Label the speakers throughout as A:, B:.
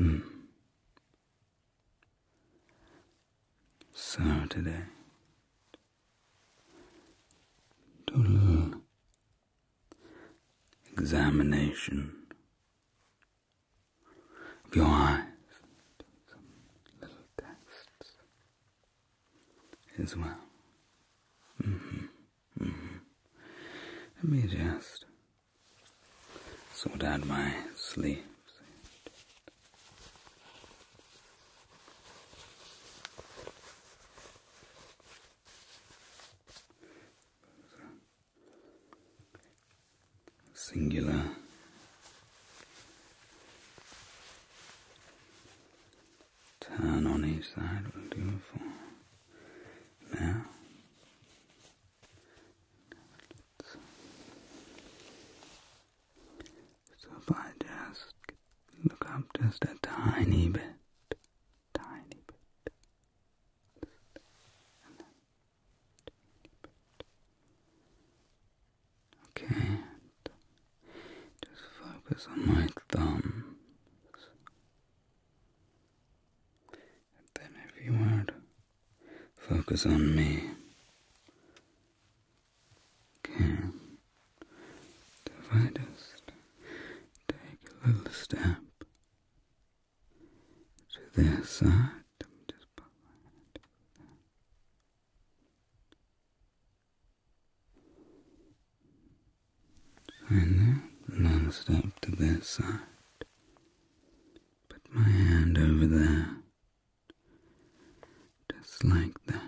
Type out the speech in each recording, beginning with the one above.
A: Mm. Saturday. Dull. Examination of your eyes. little tests as well. Mm-hmm. Mm -hmm. Let me just sort out my sleeves. Singular turn on each side will now. So if I just look up just a tiny bit, tiny bit, Okay, just focus on my thumbs. And then if you would focus on me. Okay. if I just take a little step to this side. Just put and now, last to this side. Put my hand over there. Just like that.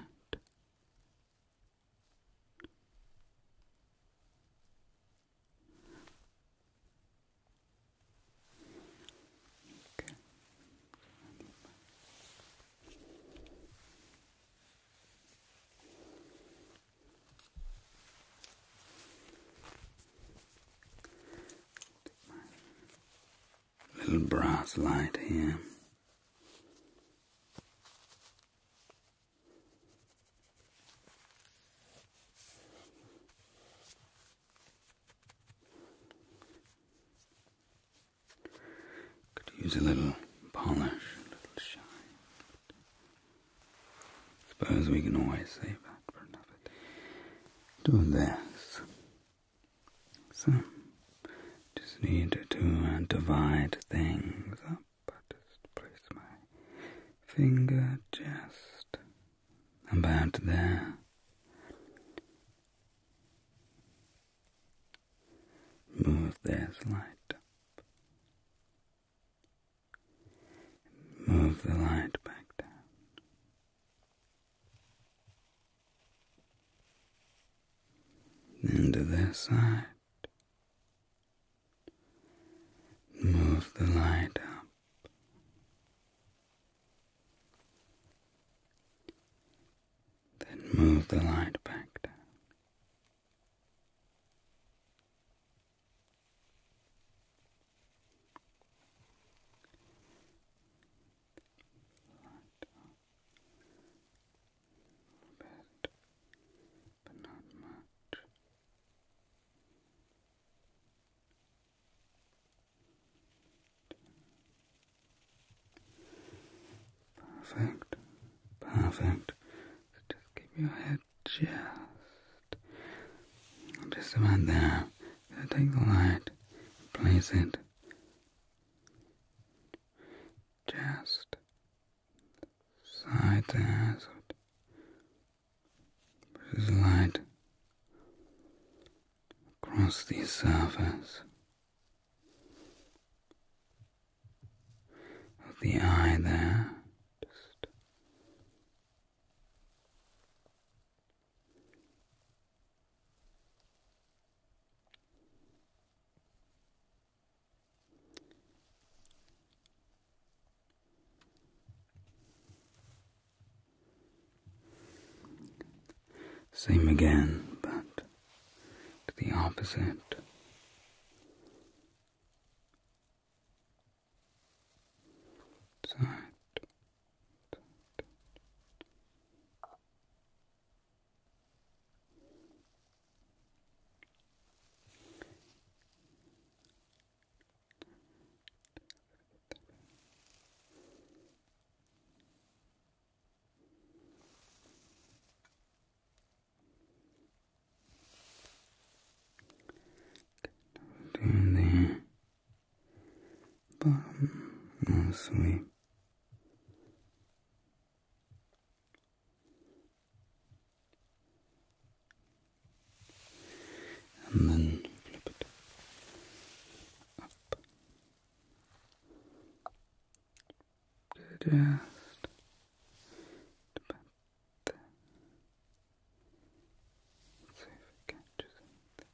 A: Okay. Little brass light here. Could use a little polish, a little shine. Suppose we can always save that for another day. Do this. So, just need to divide things up. I just place my finger just about there. Move this light up Move the light back down. Then to this side. Move the light up. Then move the light back down. Light up a bit, but not much. Perfect, perfect. just keep your head just just about there. Take the light, place it just side the light across the surface of the eye there same again, but to the opposite side. Good down there, bottom no sweep. And then flip it up the just to back something. Let's see if we catch something.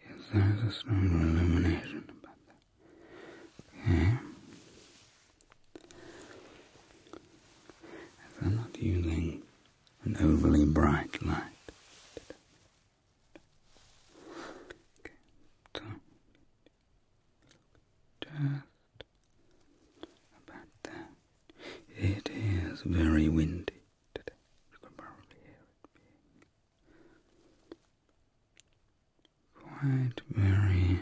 A: Yes, there is a stronger illumination about that. Okay. As I'm not using an overly bright light. just about that. It is very windy today. You can probably hear it being Quite very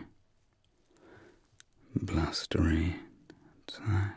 A: blustery outside.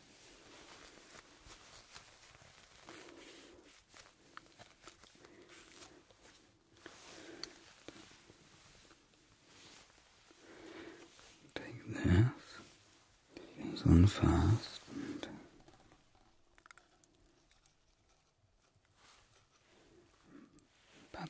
A: Take this, things on fast and pat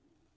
A: Bring it down.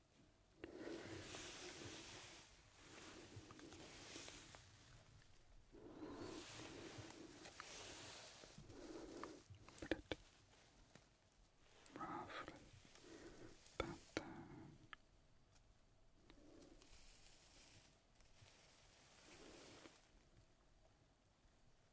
A: Bit roughly about there.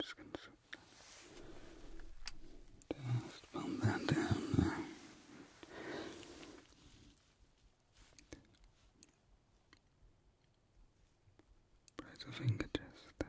A: Just gonna just that down Press a finger just there.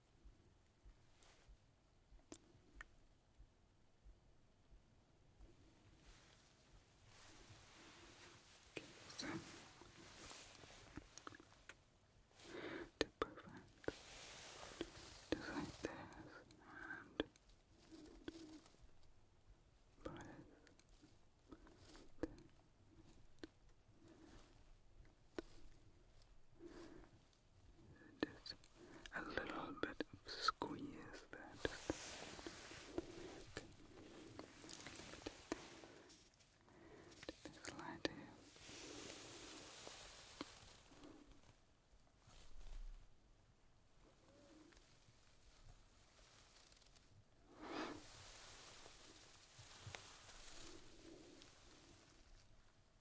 A: so to perfect just and press just a little bit squeeze there. slide here.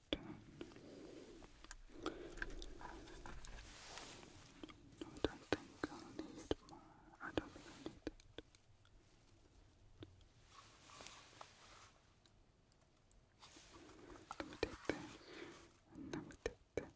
A: No, I don't think I'll need more. I don't need that. Let me take this. let me take this. Let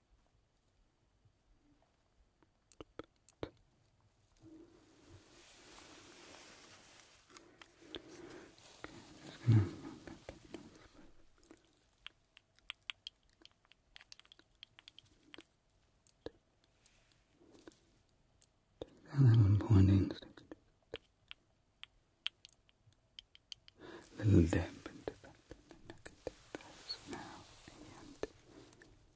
A: Okay, i that little pointing little damp into that, and I can take now and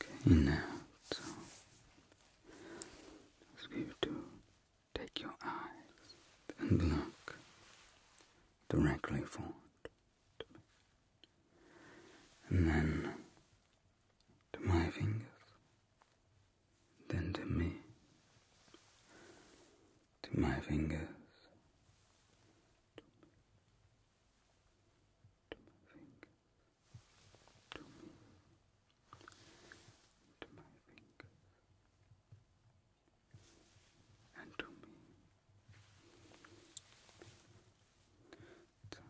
A: Okay, now, so ask you to take your eyes and look directly forward and then to my fingers, then to me, to my fingers, to my finger, to me, to my finger, and to me. So,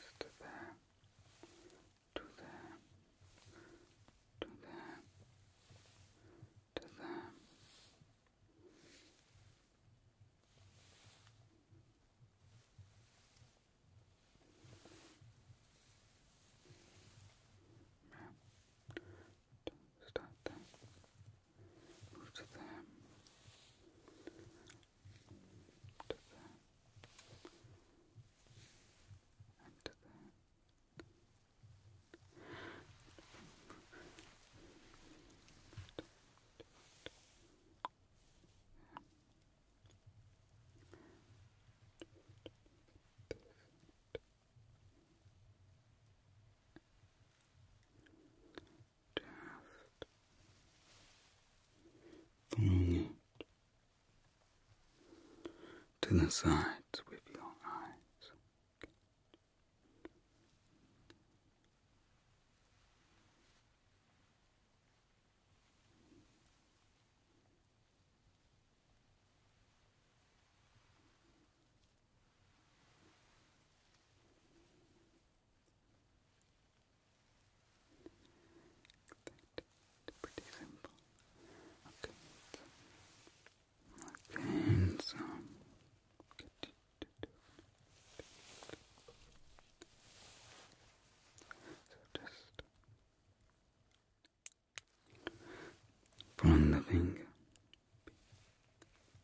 A: just from there, to there, to them, to them. do to them. To them. And to them. Following it to the sides with your eyes. Pretty simple. Okay. Okay, so just from the finger,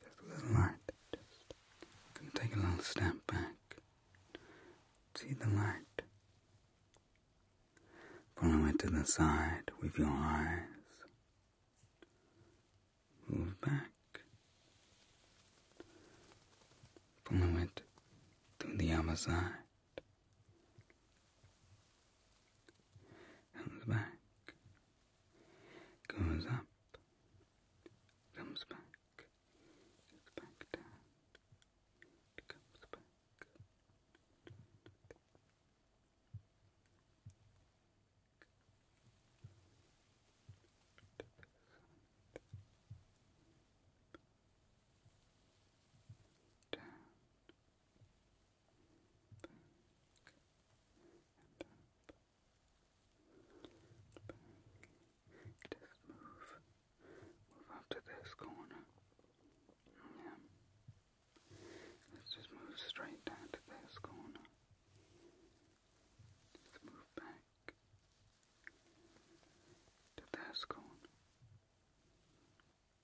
A: just a light. Just can take a little step back. See the light Follow it to the side with your eyes. Move back. Follow it to the other side. Comes back. Goes up. Comes back. Goes back down. Comes back down, back, Just move, move up to this corner. Yeah. Let's just move straight down to this corner. Let's move back to this corner.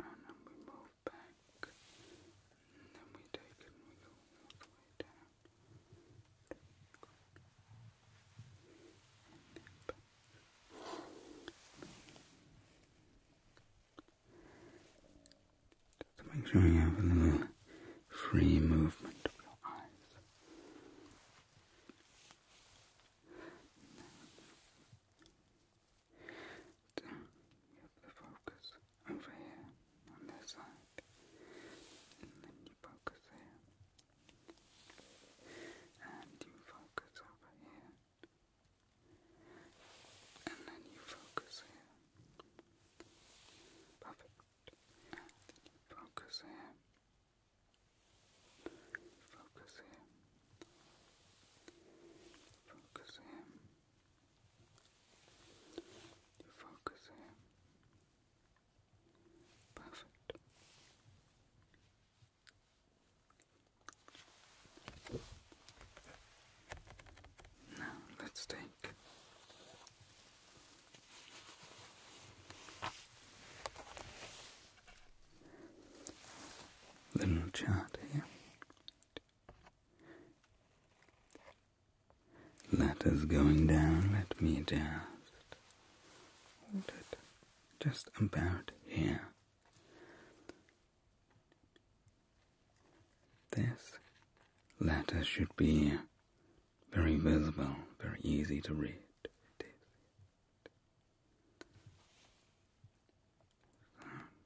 A: And then we move back. And then we take it and we go all the way down. Just make sure you have a little free movement of your eyes. you have the focus over here on this side, and then you focus here, and you focus over here and then you focus here. Perfect. focus here. Focus here. Focus here. focus here. Perfect. Now let's take little chart here. Letters going down, let me just hold it just about here. This letter should be very visible, very easy to read.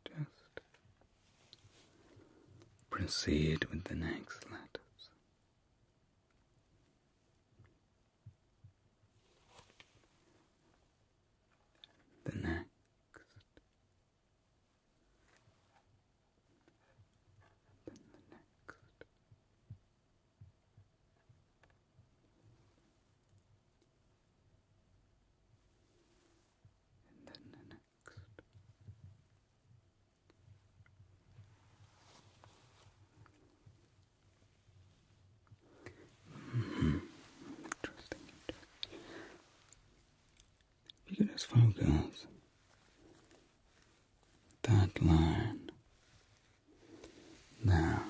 A: just proceed with the next letters. The next then the next. And then the next. Mm-hmm. interesting. If you can just focus that line now.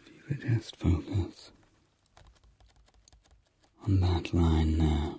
A: If you could just focus on that line now.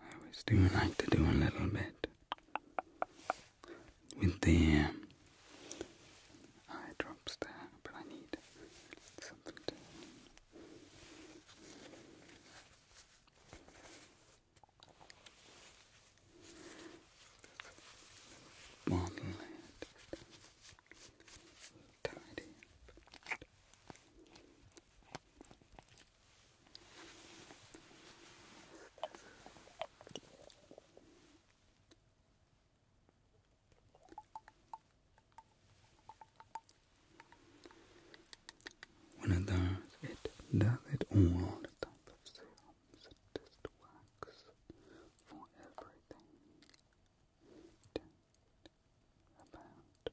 A: I always do like to do a little bit with the um, eye drops there, but I need something to. Model it, tidy when it does, it does it all on of serums. It just works for everything. about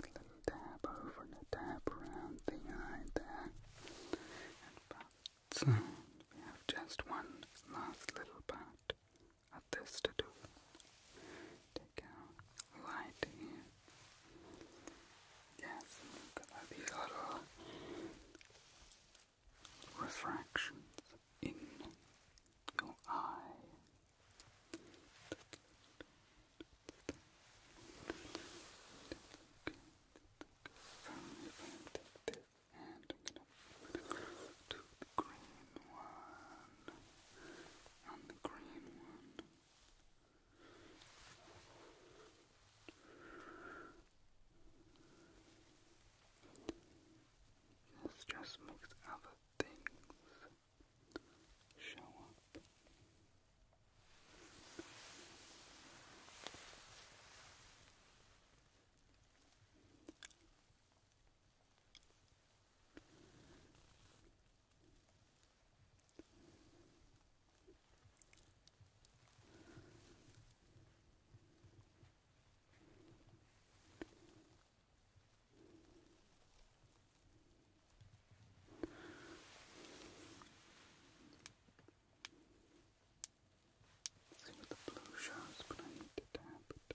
A: Little dab over the dab around the eye there. And but uh, we have just one last little part of this to do take out light Yes, gonna be refractions in your eye. and I'm going to do the green one and the green one. Your stress makes other things show up. See with the blue shards, but I need to tap it.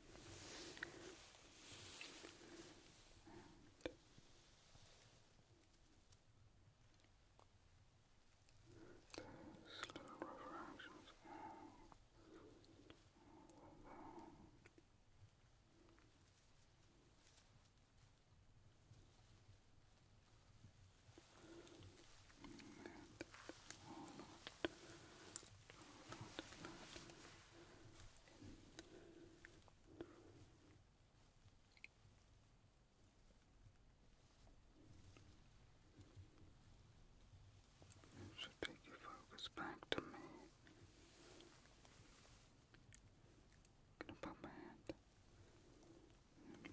A: And there's little refractions and all that should take your focus back to me. gonna put my hand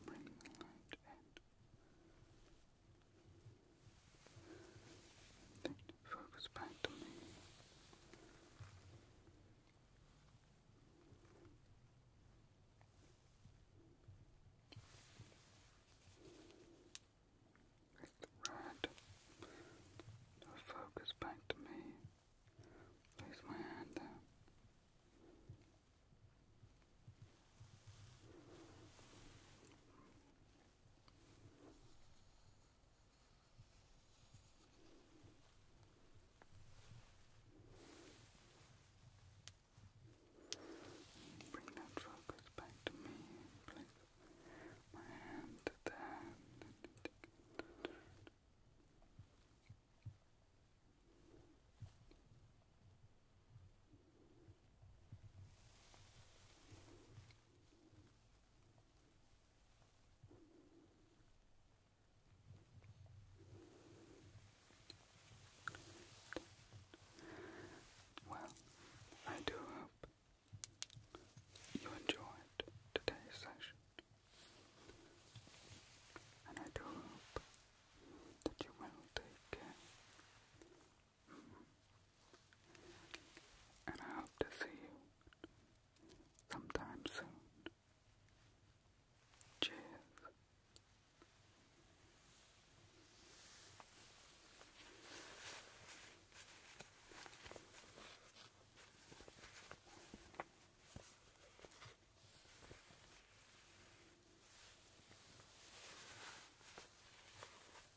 A: bring the light in focus back to me. Make focus back to me. Place my hand there. Bring that focus back to me. Place my hand to there. Good. Well, I do hope you enjoyed today's session, and I do hope that you will take care and I hope to see you sometime soon. Cheers.